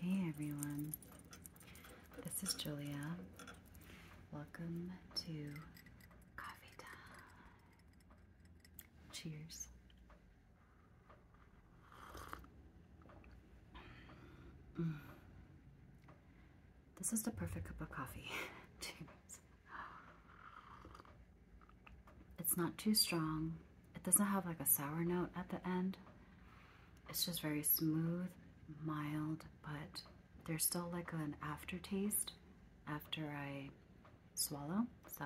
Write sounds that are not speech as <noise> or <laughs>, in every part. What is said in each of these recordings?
Hey everyone, this is Julia. Welcome to Coffee Time. Cheers. Mm. This is the perfect cup of coffee. <laughs> It's not too strong. It doesn't have like a sour note at the end. It's just very smooth, mild, but there's still like an aftertaste after I swallow. So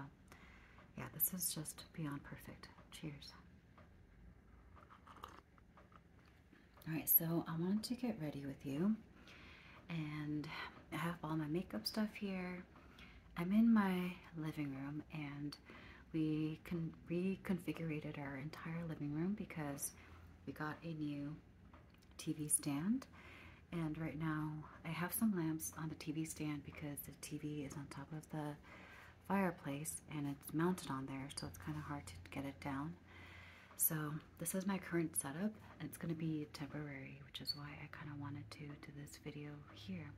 yeah, this is just beyond perfect. Cheers. All right, so I wanted to get ready with you and I have all my makeup stuff here I'm in my living room and we con reconfigured our entire living room because we got a new TV stand. And right now I have some lamps on the TV stand because the TV is on top of the fireplace and it's mounted on there so it's kind of hard to get it down. So this is my current setup. It's going to be temporary, which is why I kind of wanted to do this video here.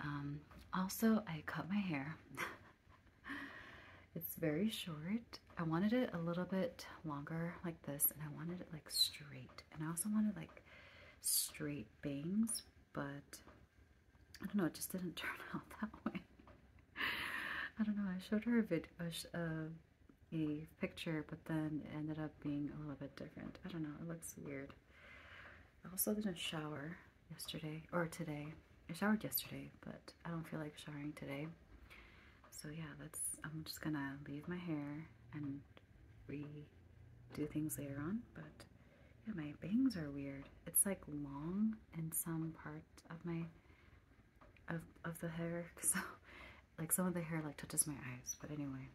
Um, also, I cut my hair. <laughs> it's very short. I wanted it a little bit longer like this and I wanted it like straight. And I also wanted like straight bangs, but I don't know, it just didn't <laughs> turn out that way. I don't know, I showed her a video, uh, a picture, but then it ended up being a little bit different. I don't know, it looks weird. I also didn't shower yesterday or today. I showered yesterday, but I don't feel like showering today. So yeah, that's I'm just gonna leave my hair and redo things later on. But yeah, my bangs are weird. It's like long in some part of my of of the hair. <laughs> So like some of the hair like touches my eyes. But anyway,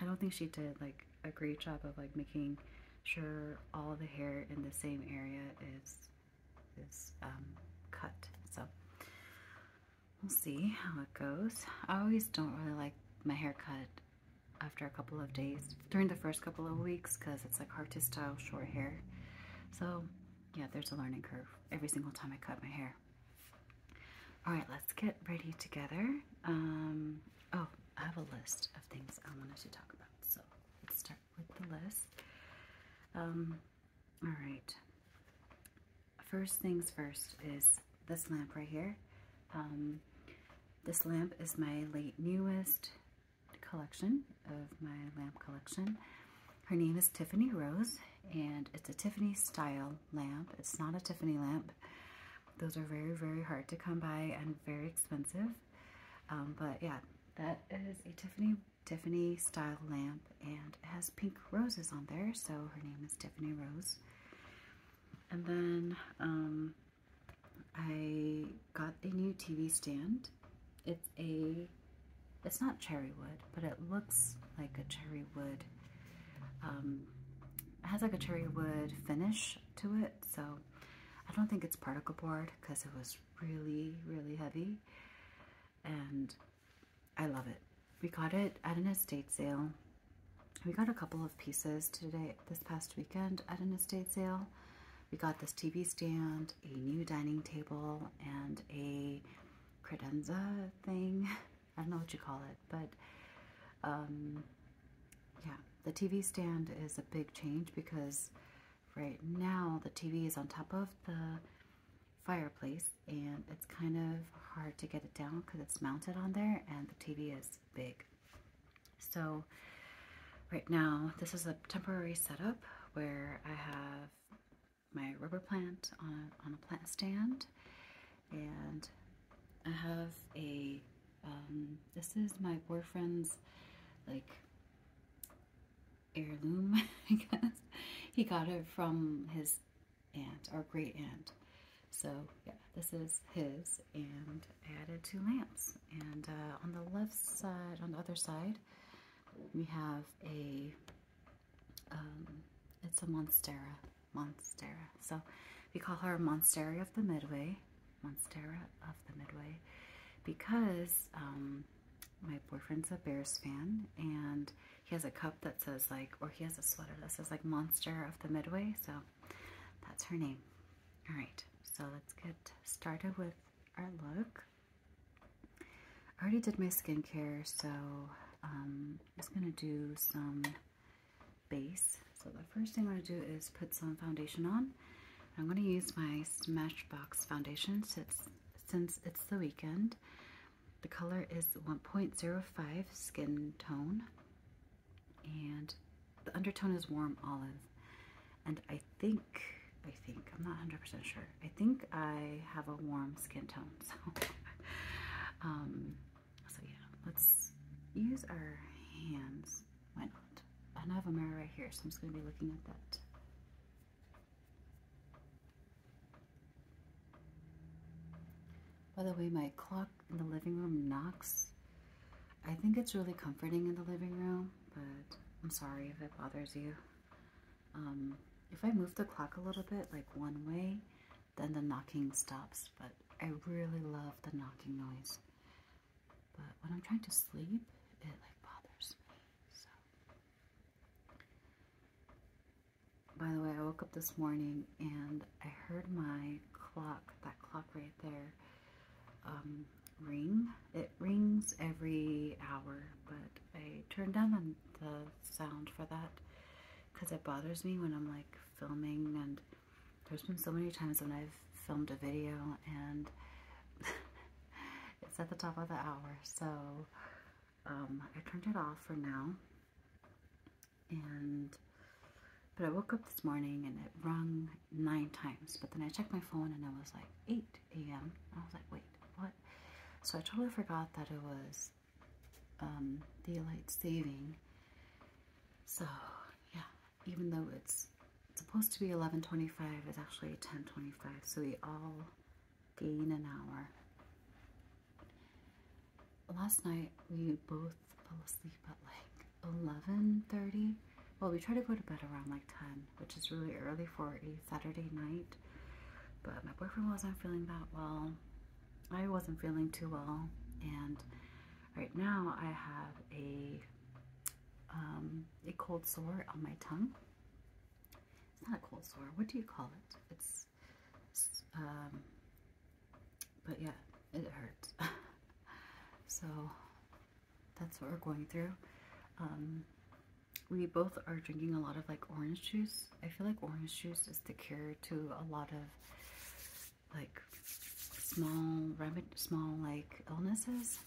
I don't think she did like a great job of like making sure all the hair in the same area is is um, cut. So we'll see how it goes. I always don't really like my hair cut after a couple of days during the first couple of weeks because it's like hard to style short hair. So yeah, there's a learning curve every single time I cut my hair. All right, let's get ready together. Um, oh, I have a list of things I wanted to talk about. So let's start with the list. Um, all right. First things first is this lamp right here. Um, this lamp is my late newest collection of my lamp collection. Her name is Tiffany Rose and it's a Tiffany style lamp. It's not a Tiffany lamp. Those are very, very hard to come by and very expensive. Um, but yeah, that is a Tiffany Tiffany style lamp and it has pink roses on there. So her name is Tiffany Rose. And then um, I got a new TV stand. It's a, it's not cherry wood, but it looks like a cherry wood it um, has like a cherry wood finish to it, so I don't think it's particle board because it was really, really heavy. And I love it. We got it at an estate sale. We got a couple of pieces today, this past weekend at an estate sale. We got this TV stand, a new dining table, and a credenza thing. <laughs> I don't know what you call it, but um, yeah, the TV stand is a big change because right now the TV is on top of the fireplace and it's kind of hard to get it down because it's mounted on there and the TV is big. So right now this is a temporary setup where I have my rubber plant on a, on a plant stand and I have a, um, this is my boyfriend's, like, heirloom, <laughs> I guess. He got it from his aunt, our great aunt. So, yeah, this is his, and added two lamps. And uh, on the left side, on the other side, we have a, um, it's a Monstera Monstera. So we call her Monstera of the Midway. Monstera of the Midway because um, my boyfriend's a Bears fan and he has a cup that says like, or he has a sweater that says like Monster of the Midway. So that's her name. All right, so let's get started with our look. I already did my skincare, so um, I'm just gonna do some base. So the first thing I'm going to do is put some foundation on. I'm going to use my Smashbox foundation since, since it's the weekend. The color is 1.05 skin tone and the undertone is warm olive. And I think, I think, I'm not 100% sure. I think I have a warm skin tone. <laughs> So um, so yeah, let's use our hands. Why not? And I have a mirror right here, so I'm just going to be looking at that. By the way, my clock in the living room knocks. I think it's really comforting in the living room, but I'm sorry if it bothers you. Um, if I move the clock a little bit, like one way, then the knocking stops. But I really love the knocking noise. But when I'm trying to sleep, it like bothers me. So, by the way, I woke up this morning and I heard my clock, that clock right there, um, ring. It rings every hour, but I turned down the sound for that because it bothers me when I'm like filming and there's been so many times when I've filmed a video and <laughs> it's at the top of the hour so um, I turned it off for now and but I woke up this morning and it rung nine times but then I checked my phone and it was like 8 a.m. I was like wait what so I totally forgot that it was um, daylight saving. So yeah, even though it's supposed to be 11.25, it's actually 10.25, so we all gain an hour. Last night, we both fell asleep at like 11.30. Well, we try to go to bed around like 10, which is really early for a Saturday night, but my boyfriend wasn't feeling that well. I wasn't feeling too well, and right now I have a um, a cold sore on my tongue. It's not a cold sore. What do you call it? It's, um, but yeah, it hurts. <laughs> so that's what we're going through. Um, we both are drinking a lot of like orange juice. I feel like orange juice is the cure to a lot of like small small like illnesses.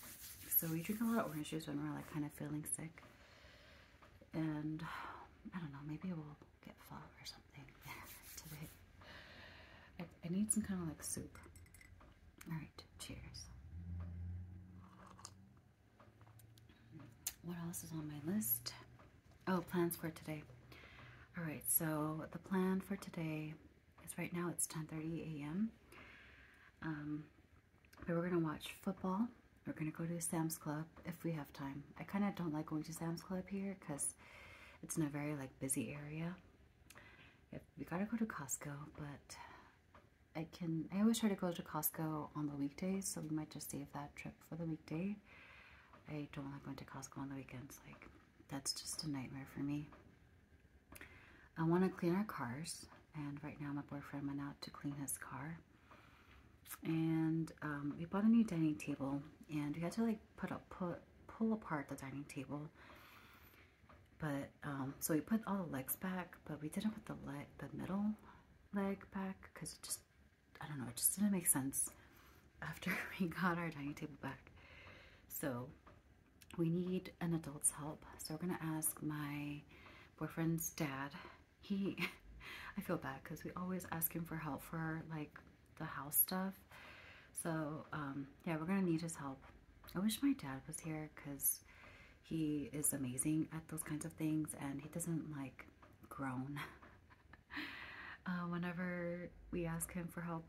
So we drink a lot of oranges when we're like kind of feeling sick. And I don't know, maybe we'll get pho or something <laughs> today. I, I need some kind of like soup. Alright, cheers. What else is on my list? Oh, plans for today. All right, so the plan for today is right now it's 10.30 a.m. Um, we're going to watch football. We're going to go to Sam's Club if we have time. I kind of don't like going to Sam's Club here because it's not very like busy area. We got to go to Costco, but I can, I always try to go to Costco on the weekdays, so we might just save that trip for the weekday. I don't like going to Costco on the weekends. Like, that's just a nightmare for me. I want to clean our cars, and right now my boyfriend went out to clean his car. And um, we bought a new dining table, and we had to like put up, put, pull apart the dining table. But um, so we put all the legs back, but we didn't put the leg, the middle leg back because it just I don't know, it just didn't make sense after <laughs> we got our dining table back. So we need an adult's help. So we're gonna ask my boyfriend's dad. He, <laughs> I feel bad because we always ask him for help for like the house stuff. So um, yeah, we're gonna need his help. I wish my dad was here because he is amazing at those kinds of things and he doesn't like groan. <laughs> Uh, whenever we ask him for help,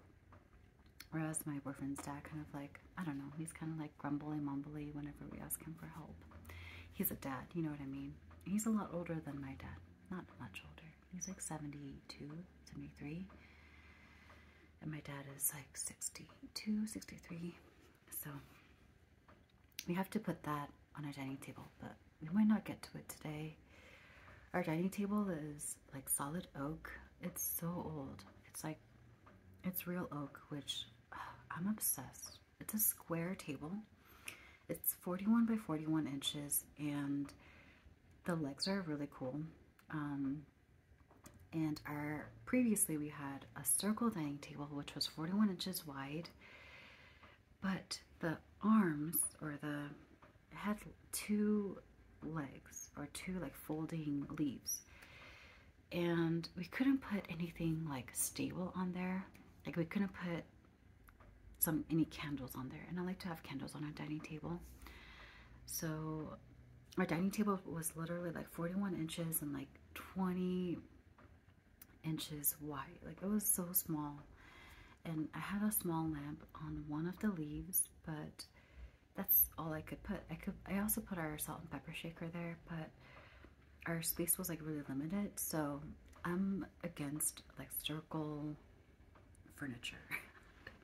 or as my boyfriend's dad kind of like, I don't know, he's kind of like grumbly mumbly whenever we ask him for help. He's a dad, you know what I mean? He's a lot older than my dad. Not much older. He's like 72, 73. And my dad is like 62, 63. So we have to put that on our dining table, but we might not get to it today. Our dining table is like solid oak. It's so old. It's like, it's real oak, which I'm obsessed. It's a square table. It's 41 by 41 inches and the legs are really cool. Um, and our previously we had a circle dining table which was 41 inches wide but the arms or the had two legs or two like folding leaves and we couldn't put anything like stable on there like we couldn't put some any candles on there and I like to have candles on our dining table so our dining table was literally like 41 inches and like 20 inches wide. Like it was so small. And I had a small lamp on one of the leaves, but that's all I could put. I could I also put our salt and pepper shaker there, but our space was like really limited, so I'm against like circle furniture.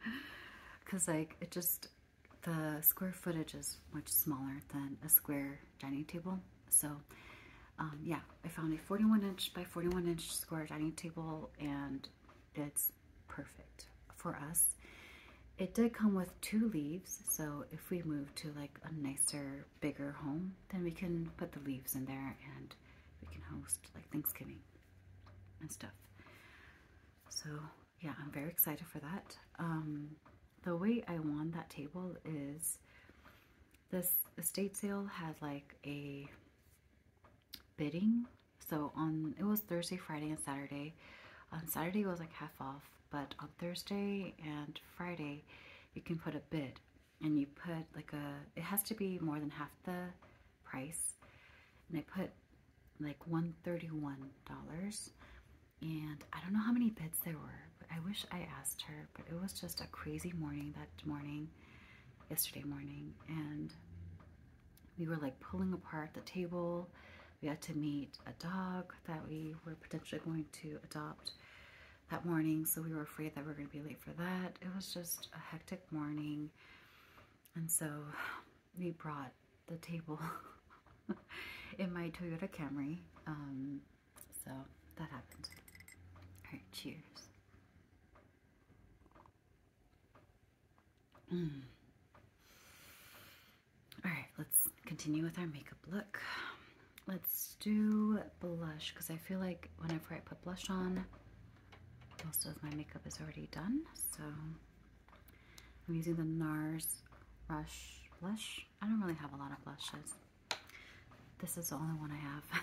<laughs> Cause like it just the square footage is much smaller than a square dining table. So um, yeah, I found a 41 inch by 41 inch square dining table and it's perfect for us. It did come with two leaves, so if we move to like a nicer, bigger home, then we can put the leaves in there and we can host like Thanksgiving and stuff. So yeah, I'm very excited for that. Um, the way I want that table is this estate sale had like a bidding. So on it was Thursday, Friday, and Saturday. On Saturday was like half off, but on Thursday and Friday you can put a bid and you put like a it has to be more than half the price. And I put like $131 and I don't know how many bids there were. I wish I asked her, but it was just a crazy morning that morning, yesterday morning, and we were like pulling apart the table. We had to meet a dog that we were potentially going to adopt that morning, so we were afraid that we were going to be late for that. It was just a hectic morning, and so we brought the table <laughs> in my Toyota Camry. Um, so that happened. Alright, cheers. Hmm. Alright, let's continue with our makeup look. Let's do blush because I feel like whenever I put blush on, most of my makeup is already done. So I'm using the NARS Rush Blush. I don't really have a lot of blushes. This is the only one I have.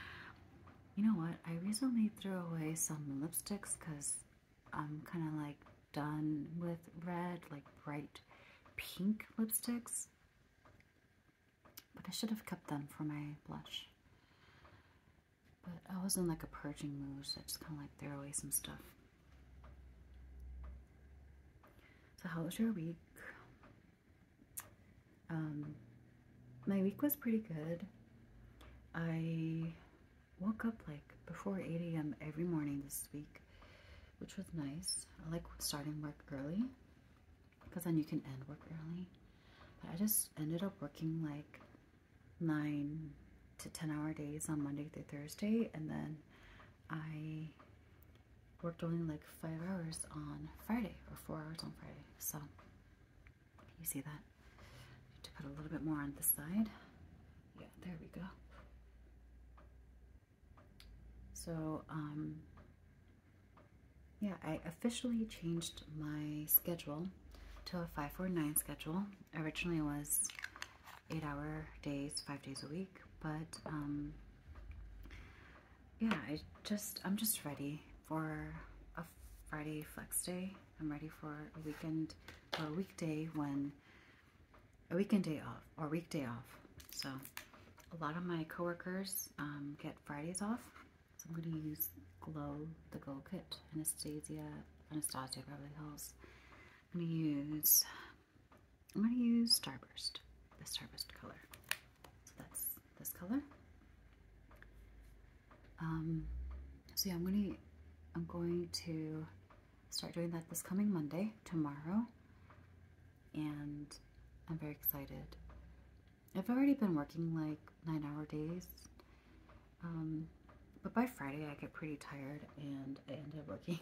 <laughs> you know what? I recently threw away some lipsticks because I'm kind of like done with red, like bright pink lipsticks. But I should have kept them for my blush. But I was in like a purging mood, so I just kind of like threw away some stuff. So how was your week? Um, my week was pretty good. I woke up like before 8 a.m. every morning this week, which was nice. I like starting work early because then you can end work early. But I just ended up working like 9 to 10 hour days on Monday through Thursday and then I worked only like five hours on Friday or four hours on Friday. So you see that? Need to put a little bit more on the side. Yeah, there we go. So um, yeah, I officially changed my schedule to a 549 schedule. Originally it was eight hour days, five days a week, but um, yeah, I just I'm just ready for a Friday flex day. I'm ready for a weekend or a weekday when a weekend day off or weekday off. So a lot of my coworkers um, get Fridays off. So I'm going to use Glow, the Glow Kit, Anastasia, Anastasia Beverly Hills. I'm going to use I'm going to use Starburst, the Starburst color. So that's this color. Um, so yeah, I'm going to I'm going to start doing that this coming Monday, tomorrow, and I'm very excited. I've already been working like nine hour days, um, but by Friday I get pretty tired and I end up working.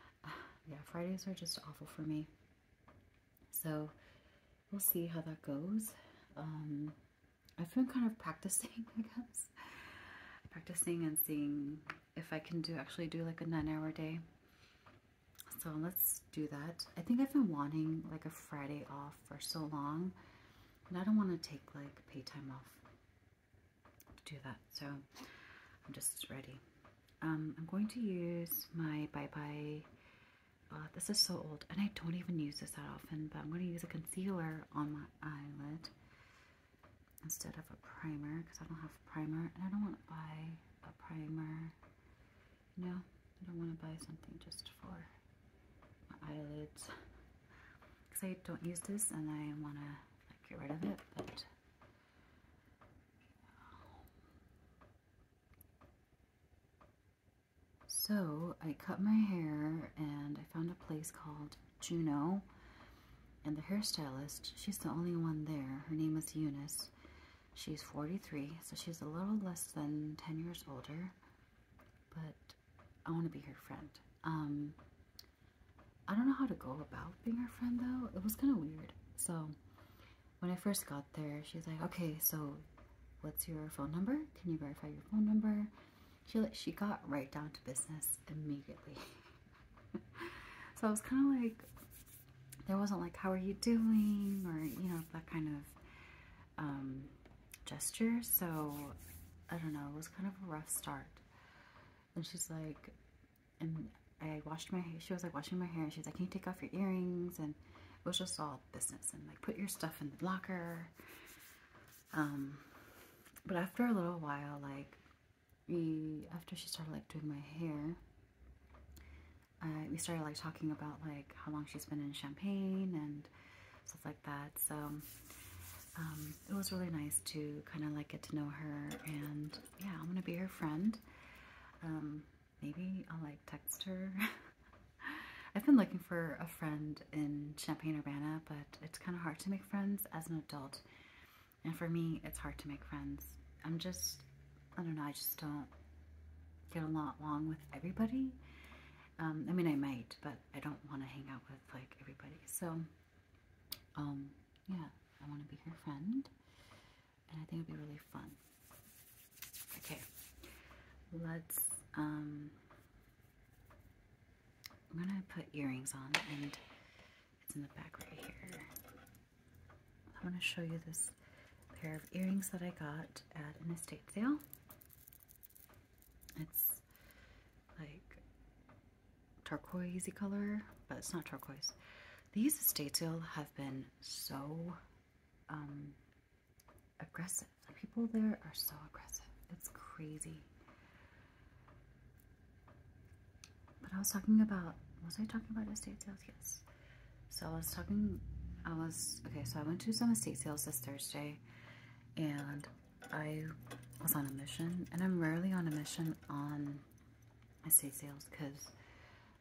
<laughs> yeah, Fridays are just awful for me. So we'll see how that goes. Um, I've been kind of practicing, <laughs> I guess. Practicing and seeing if I can do actually do like a nine hour day. So let's do that. I think I've been wanting like a Friday off for so long. And I don't want to take like pay time off to do that. So I'm just ready. Um, I'm going to use my Bye Bye. Uh, this is so old, and I don't even use this that often, but I'm going to use a concealer on my eyelid instead of a primer because I don't have primer, and I don't want to buy a primer. No, I don't want to buy something just for my eyelids because I don't use this, and I want to get rid of it, but so I cut my hair and I found a place called Juno. And the hairstylist, she's the only one there. Her name is Eunice. She's 43, so she's a little less than 10 years older. But I want to be her friend. Um, I don't know how to go about being her friend though. It was kind of weird. So when I first got there, she's like, okay, so what's your phone number? Can you verify your phone number? She, she got right down to business immediately. <laughs> so I was kind of like, there wasn't like, how are you doing? Or, you know, that kind of um, gesture. So I don't know, it was kind of a rough start. And she's like, and I washed my hair. She was like washing my hair, and she's like, "Can you take off your earrings?" And it was just all business and like put your stuff in the locker. Um, but after a little while, like we after she started like doing my hair, we started like talking about like how long she's been in Champagne and stuff like that. So um, it was really nice to kind of like get to know her, and yeah, I'm gonna be her friend. Um, maybe I'll like text her. <laughs> I've been looking for a friend in Champagne urbana but it's kind of hard to make friends as an adult. And for me, it's hard to make friends. I'm just, I don't know, I just don't get along with everybody. Um, I mean, I might, but I don't want to hang out with like everybody. So, um, yeah, I want to be her friend and I think it'd be really fun. Okay, let's. Um, I'm gonna put earrings on, and it's in the back right here. I want to show you this pair of earrings that I got at an estate sale. It's like turquoisey color, but it's not turquoise. These estate sale have been so um, aggressive. The people there are so aggressive. It's crazy. But I was talking about, was I talking about estate sales? Yes. So I was talking, I was, okay, so I went to some estate sales this Thursday and I was on a mission and I'm rarely on a mission on estate sales because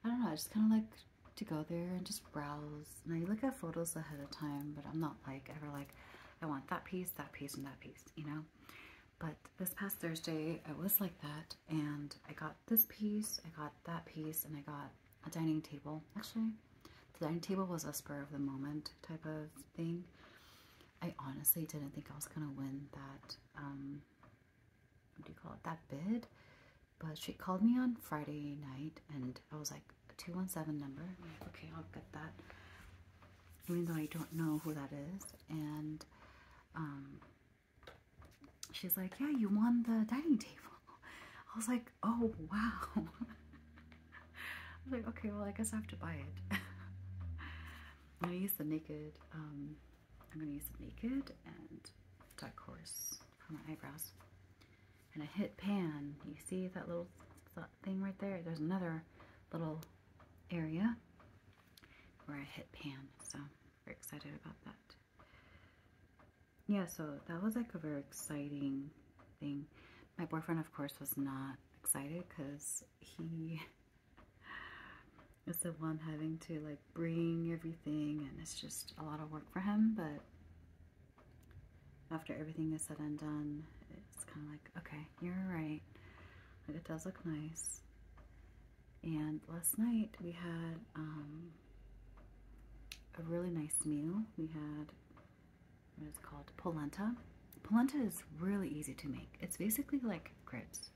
I don't know, I just kind of like to go there and just browse. Now you look at photos ahead of time, but I'm not like ever like, I want that piece, that piece, and that piece, you know? But this past Thursday, I was like that, and I got this piece, I got that piece, and I got a dining table. Actually, the dining table was a spur of the moment type of thing. I honestly didn't think I was going to win that um, what do you call it, that bid. But she called me on Friday night and I was like, 217 number. okay, I'll get that. Even though I don't know who that is. And um, she's like, yeah, you won the dining table. I was like, oh, wow. <laughs> I was like, okay, well, I guess I have to buy it. <laughs> I used the naked um, I'm gonna use Naked and Dark Horse for my eyebrows. And I hit pan. You see that little thing right there? There's another little area where I hit pan. So very excited about that. Yeah, so that was like a very exciting thing. My boyfriend, of course, was not excited because he it's the one having to like bring everything and it's just a lot of work for him but after everything is said and done it's kind of like okay you're right like it does look nice and last night we had um, a really nice meal we had what is it called polenta polenta is really easy to make it's basically like grits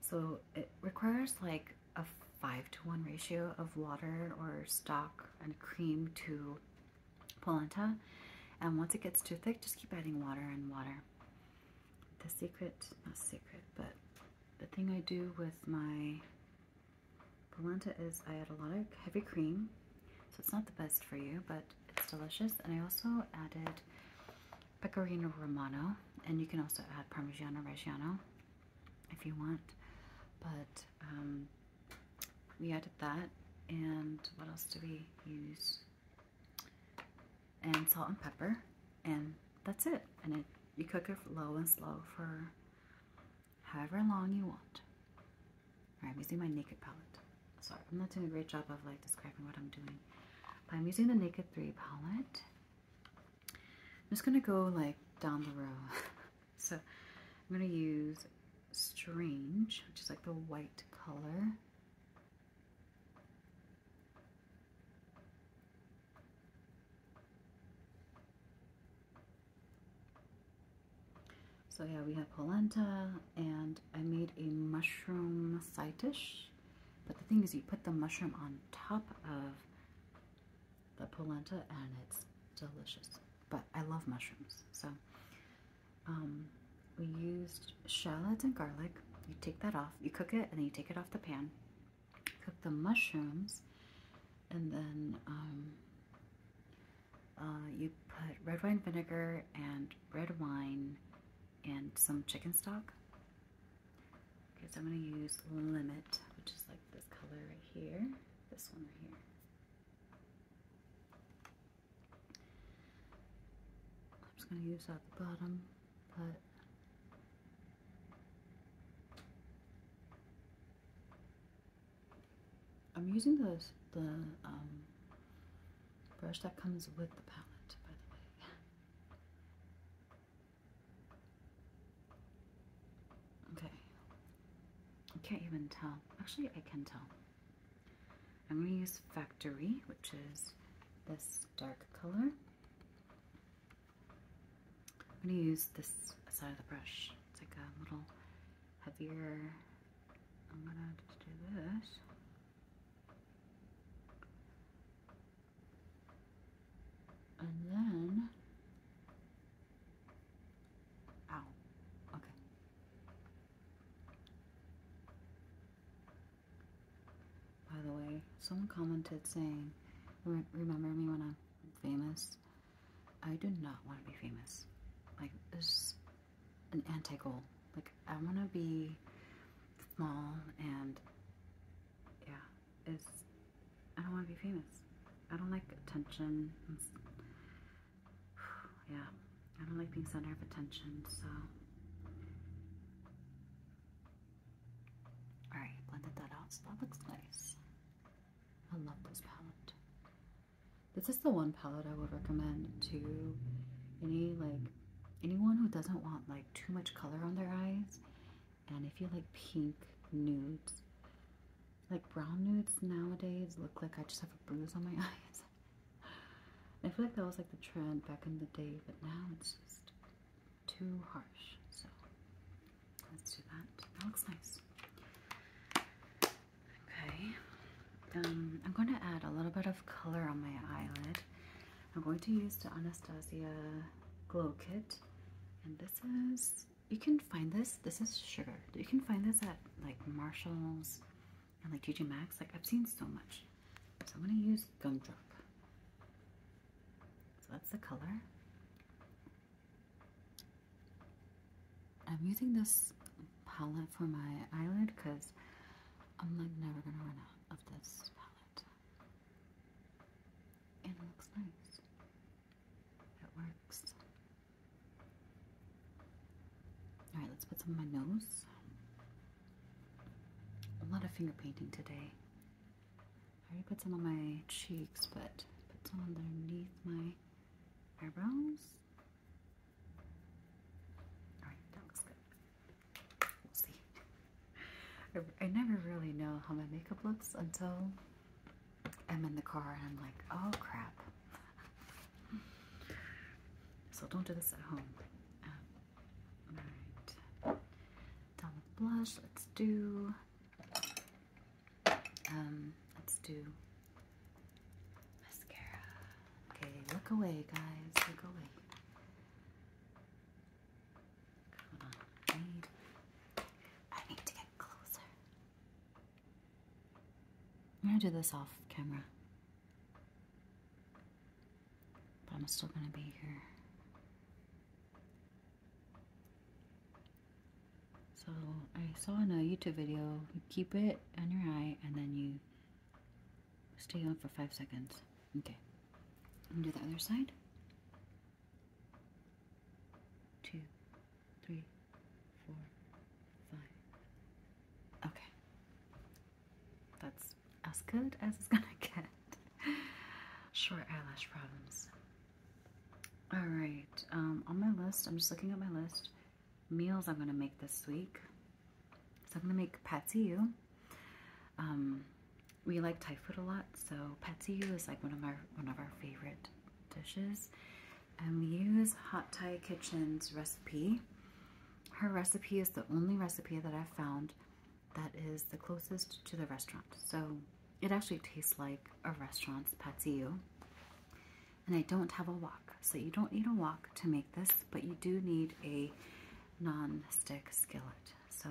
so it requires like a five to one ratio of water or stock and cream to polenta. And once it gets too thick, just keep adding water and water. The secret, not secret, but the thing I do with my polenta is I add a lot of heavy cream. So it's not the best for you, but it's delicious. And I also added pecorino romano, and you can also add Parmigiano Reggiano if you want. But um, we added that, and what else do we use? And salt and pepper, and that's it. And it, you cook it low and slow for however long you want. All right, I'm using my naked palette. Sorry, I'm not doing a great job of like describing what I'm doing. But I'm using the Naked 3 palette I'm just gonna go like down the row. <laughs> so I'm gonna use Strange, which is like the white color. So yeah, we have polenta, and I made a mushroom side dish. But the thing is, you put the mushroom on top of the polenta and it's delicious. But I love mushrooms. So um, we used shallots and garlic. You take that off, you cook it, and then you take it off the pan. Cook the mushrooms, and then um, uh, you put red wine vinegar and red wine and some chicken stock Okay, so I'm going to use Limit, which is like this color right here, this one right here. I'm just going to use at the bottom, but I'm using the, the um, brush that comes with the palette, by the way. Okay. I can't even tell. Actually, I can tell. I'm going to use Factory, which is this dark color. I'm going to use this side of the brush. It's like a little heavier. I'm going to do this. And then, ow, okay. By the way, someone commented saying, remember me when I'm famous? I do not want to be famous. Like, it's an anti goal. Like, I want to be small and yeah, is I don't want to be famous. I don't like attention. <sighs> yeah, I don't like being center of attention, so. Alright, blended that out, so that looks nice. I love this palette. This is the one palette I would recommend to any, like, anyone who doesn't want, like, too much color on their eyes. And if you like pink nudes, like brown nudes nowadays look like I just have a bruise on my <laughs> eyes. I feel like that was like the trend back in the day, but now it's just too harsh. So let's do that. That looks nice. Okay. Um, I'm going to add a little bit of color on my eyelid. I'm going to use the Anastasia Glow Kit. And this is, you can find this, this is sugar. You can find this at like Marshall's and like TJ Maxx. Like I've seen so much. So I'm going to use Gumdrop. So that's the color. I'm using this palette for my eyelid because I'm like never going to run out of this palette. It looks nice. It works. Alright, let's put some on my nose. A lot of finger painting today. I already put some on my cheeks, but put some underneath my eyebrows. Alright, that looks good. I, never really know how my makeup looks until I'm in the car and I'm like, oh crap. so don't do this at home. Um, Done with blush. Let's do. Um, let's do mascara. Okay, look away, guys. Look away. I need, I need to get closer. I'm gonna do this off camera. But I'm still gonna be here. So I saw in a YouTube video, keep it on your eye and then you Stay on for five seconds. Okay. And do the other side. Two, three, four, five. Okay. That's as good as it's <laughs> gonna get. Short eyelash problems. Alright, um, on my list, I'm just looking at my list. Meals I'm gonna make this week. So I'm gonna make patsiu. Um, we like Thai food a lot, so patsiu is like one of our one of our favorite dishes. And we use Hot Thai Kitchen's recipe. Her recipe is the only recipe that I've found that is the closest to the restaurant. So it actually tastes like a restaurant's patsiu. And I don't have a wok, so you don't need a wok to make this, but you do need a non-stick skillet. So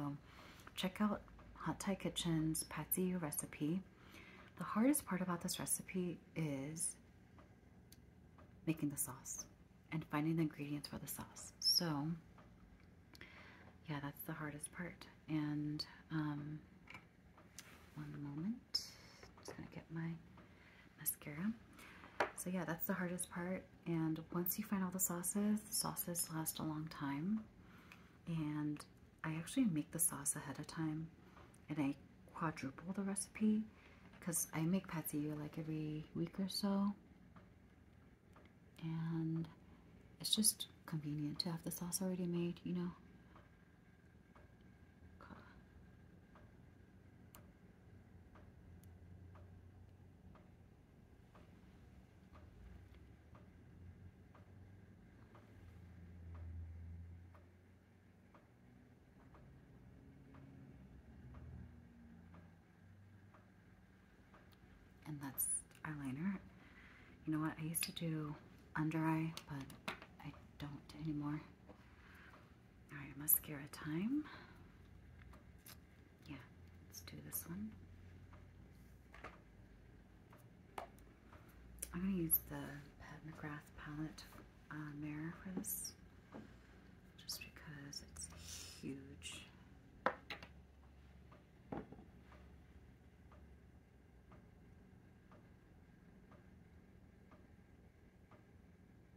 check out Hot Thai Kitchen's Patsy recipe. The hardest part about this recipe is making the sauce and finding the ingredients for the sauce. So yeah, that's the hardest part. And um, one moment, just gonna get my mascara. So yeah, that's the hardest part. And once you find all the sauces, sauces last a long time. And I actually make the sauce ahead of time and I quadruple the recipe because I make patsy like every week or so. And it's just convenient to have the sauce already made, you know. And that's eyeliner. You know what? I used to do under eye, but I don't anymore. Alright, mascara time. Yeah, let's do this one. I'm going to use the Pat McGrath palette uh, mirror for this just because it's huge.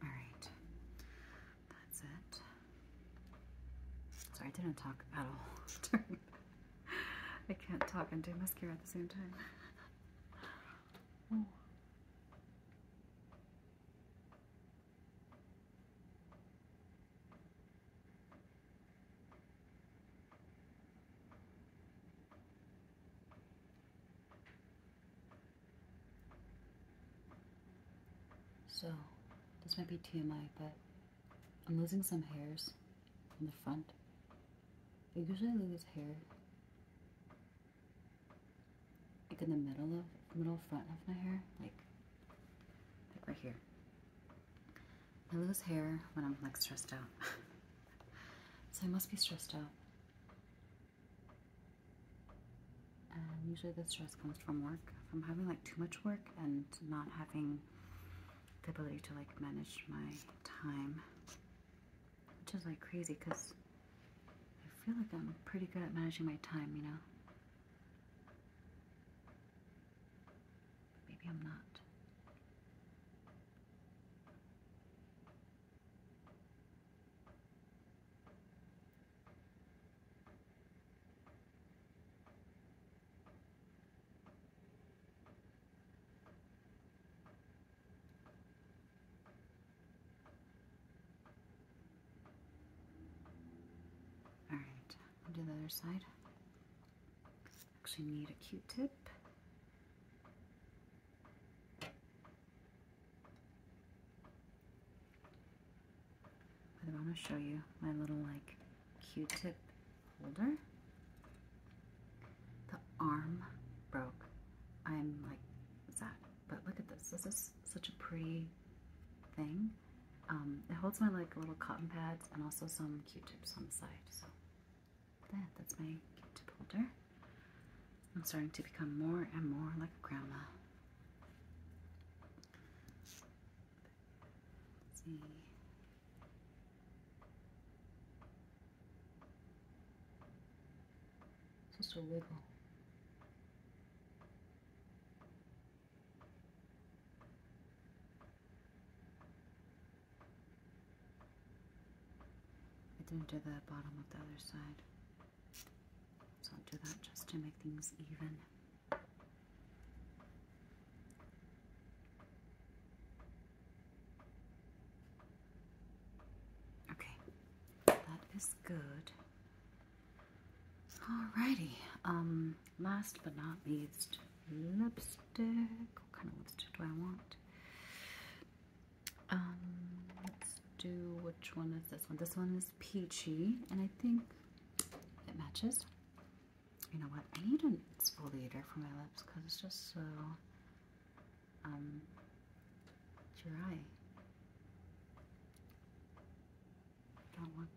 All right, that's it. So I didn't talk at all. <laughs> I can't talk and do mascara at the same time. <laughs> So, this might be TMI, but I'm losing some hairs on the front. I usually lose hair like in the middle of middle front of my hair, like like right here. I lose hair when I'm like stressed out. <laughs> so I must be stressed out. And usually this stress comes from work, from having like too much work and not having the ability to like manage my time. Which is like crazy because I feel like I'm pretty good at managing my time, you know. maybe I'm not. All right, I'll do the other side. Actually, need a Q-tip. But I want to show you my little like Q-tip holder. The arm broke. I'm like, what's that? But look at this. This is such a pretty thing. Um, it holds my like little cotton pads and also some Q-tips on the side. So that's my Q-tip holder. I'm starting to become more and more like a grandma. Let's see. Just a wiggle. I didn't do the bottom of the other side. So I'll do that just to make things even. Okay, that is good. Alrighty, um, last but not least, lipstick. What kind of lipstick do I want? Um, let's do which one is this one? This one is peachy, and I think it matches. You know what? I need an exfoliator for my lips because it's just so um, dry. Don't Okay.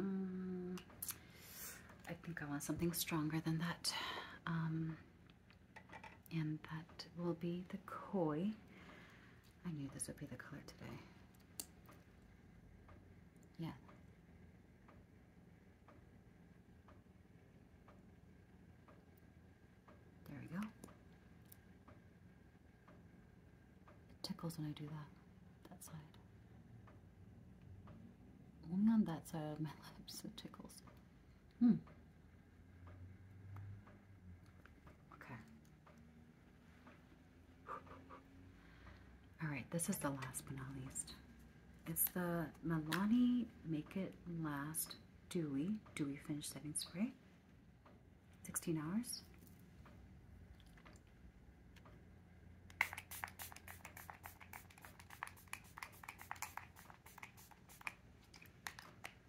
Mm, I think I want something stronger than that. Um, and that will be the koi. I knew this would be the color today. Yeah. There we go. It tickles when I do that, that side. Only on that side of my <laughs> lips it tickles. Hmm. Okay. All right, this is the last but not least. It's the Milani Make It Last Dewy, Dewy Finish Setting Spray. 16 hours.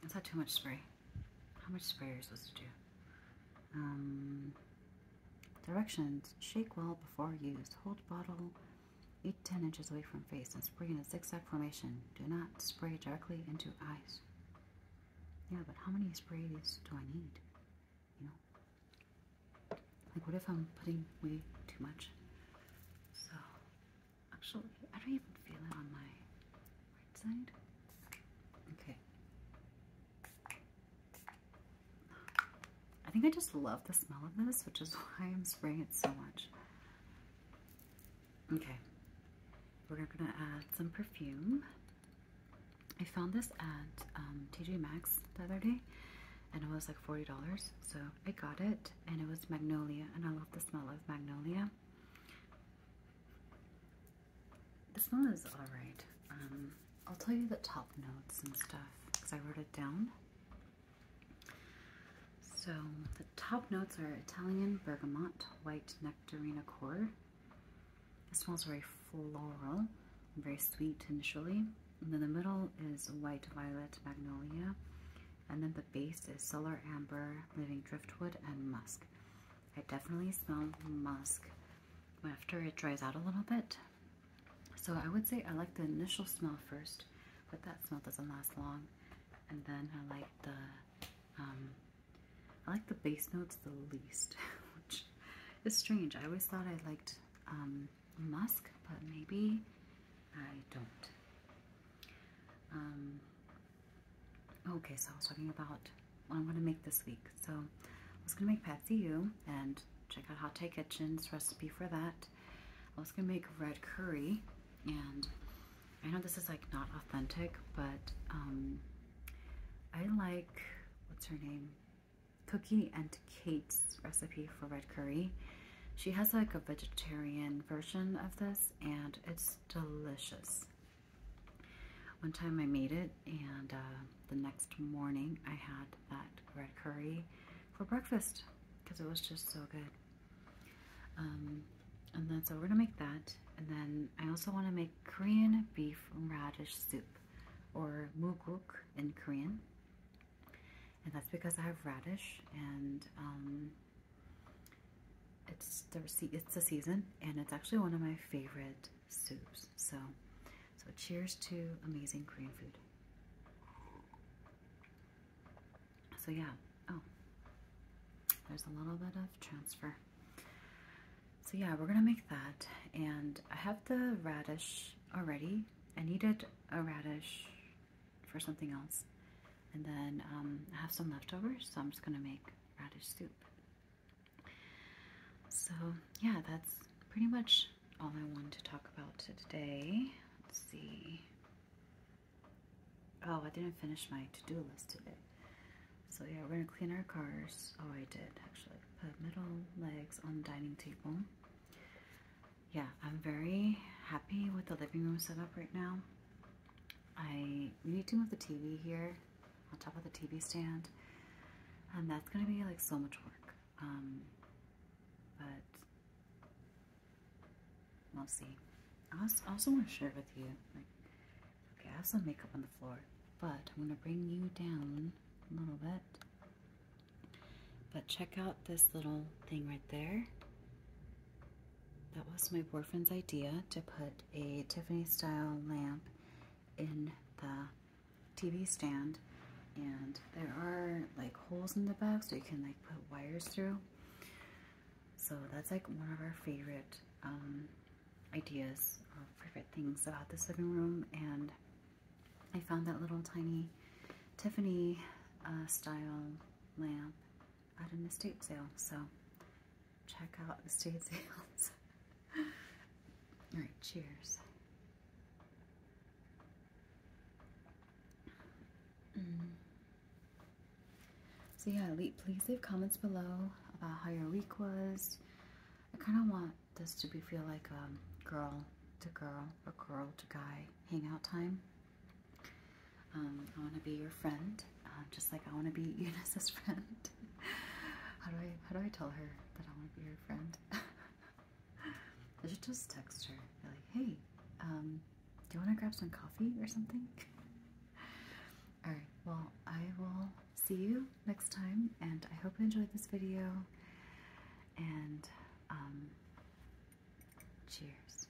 It's not too much spray. How much spray are you supposed to do? Um, directions. Shake well before use. Hold bottle 8 10 inches away from face and spray in a zigzag formation. Do not spray directly into eyes. Yeah, but how many sprays do I need? You know? Like, what if I'm putting way too much? So, actually, I don't even feel it on my side. Okay. I think I just love the smell of this, which is <laughs> why I'm spraying it so much. Okay. We're gonna add some perfume. I found this at um, TJ Maxx the other day and it was like $40 so I got it and it was Magnolia and I love the smell of Magnolia this one is alright. Um, I'll tell you the top notes and stuff because I wrote it down. So the top notes are Italian bergamot, white nectarine accord. It smells very floral, very sweet initially. And then the middle is white violet magnolia. And then the base is solar amber, living driftwood, and musk. I definitely smell musk after it dries out a little bit. So I would say I like the initial smell first, but that smell doesn't last long. And then I like the, um, I like the base notes the least, <laughs> which is strange. I always thought I liked um, musk, but maybe I don't. Um, Okay, so I was talking about what I'm going to make this week. So I was going to make Patsy U and check out Hot Thai Kitchen's recipe for that. I was going to make red curry and I know this is like not authentic, but um, I like, what's her name? Cookie and Kate's recipe for red curry. She has like a vegetarian version of this and it's delicious. One time I made it, and uh, the next morning I had that red curry for breakfast because it was just so good. Um, and then so we're gonna make that. And then I also want to make Korean beef radish soup or muguk in Korean. And that's because I have radish and um, it's the it's the season, and it's actually one of my favorite soups. So, so cheers to amazing Korean food. So yeah, oh, there's a little bit of transfer. So yeah, we're gonna make that, and I have the radish already. I needed a radish for something else, and then um, I have some leftovers, so I'm just gonna make radish soup. So, yeah, that's pretty much all I wanted to talk about today. Let's see. Oh, I didn't finish my to-do list today. So yeah, we're gonna clean our cars. Oh, I did actually. Put middle legs on the dining table. Yeah, I'm very happy with the living room setup right now. I need to move the TV here on top of the TV stand, and that's gonna be like so much work. Um, but we'll see. I also, want to share with you, okay, I have some makeup on the floor, but I'm gonna bring you down a little bit. But check out this little thing right there. That was my boyfriend's idea to put a Tiffany style lamp in the TV stand and there are like holes in the back so you can like put wires through. So that's like one of our favorite um, ideas or favorite things about this living room and I found that little tiny Tiffany uh, style lamp at an estate sale. So check out the estate sales. <laughs> All right, cheers. Mm. So yeah, please leave comments below about how your week was. I kind of want this to be feel like a girl to girl or girl to guy hangout time. Um, I want to be your friend, uh, just like I want to be <laughs> Eunice's friend. <laughs> how do I how do I tell her that I want to be her friend? <laughs> I should just text her. like, hey, um, do you want to grab some coffee or something? <laughs> Alright, well, I will see you next time, and I hope you enjoyed this video. And, um, cheers.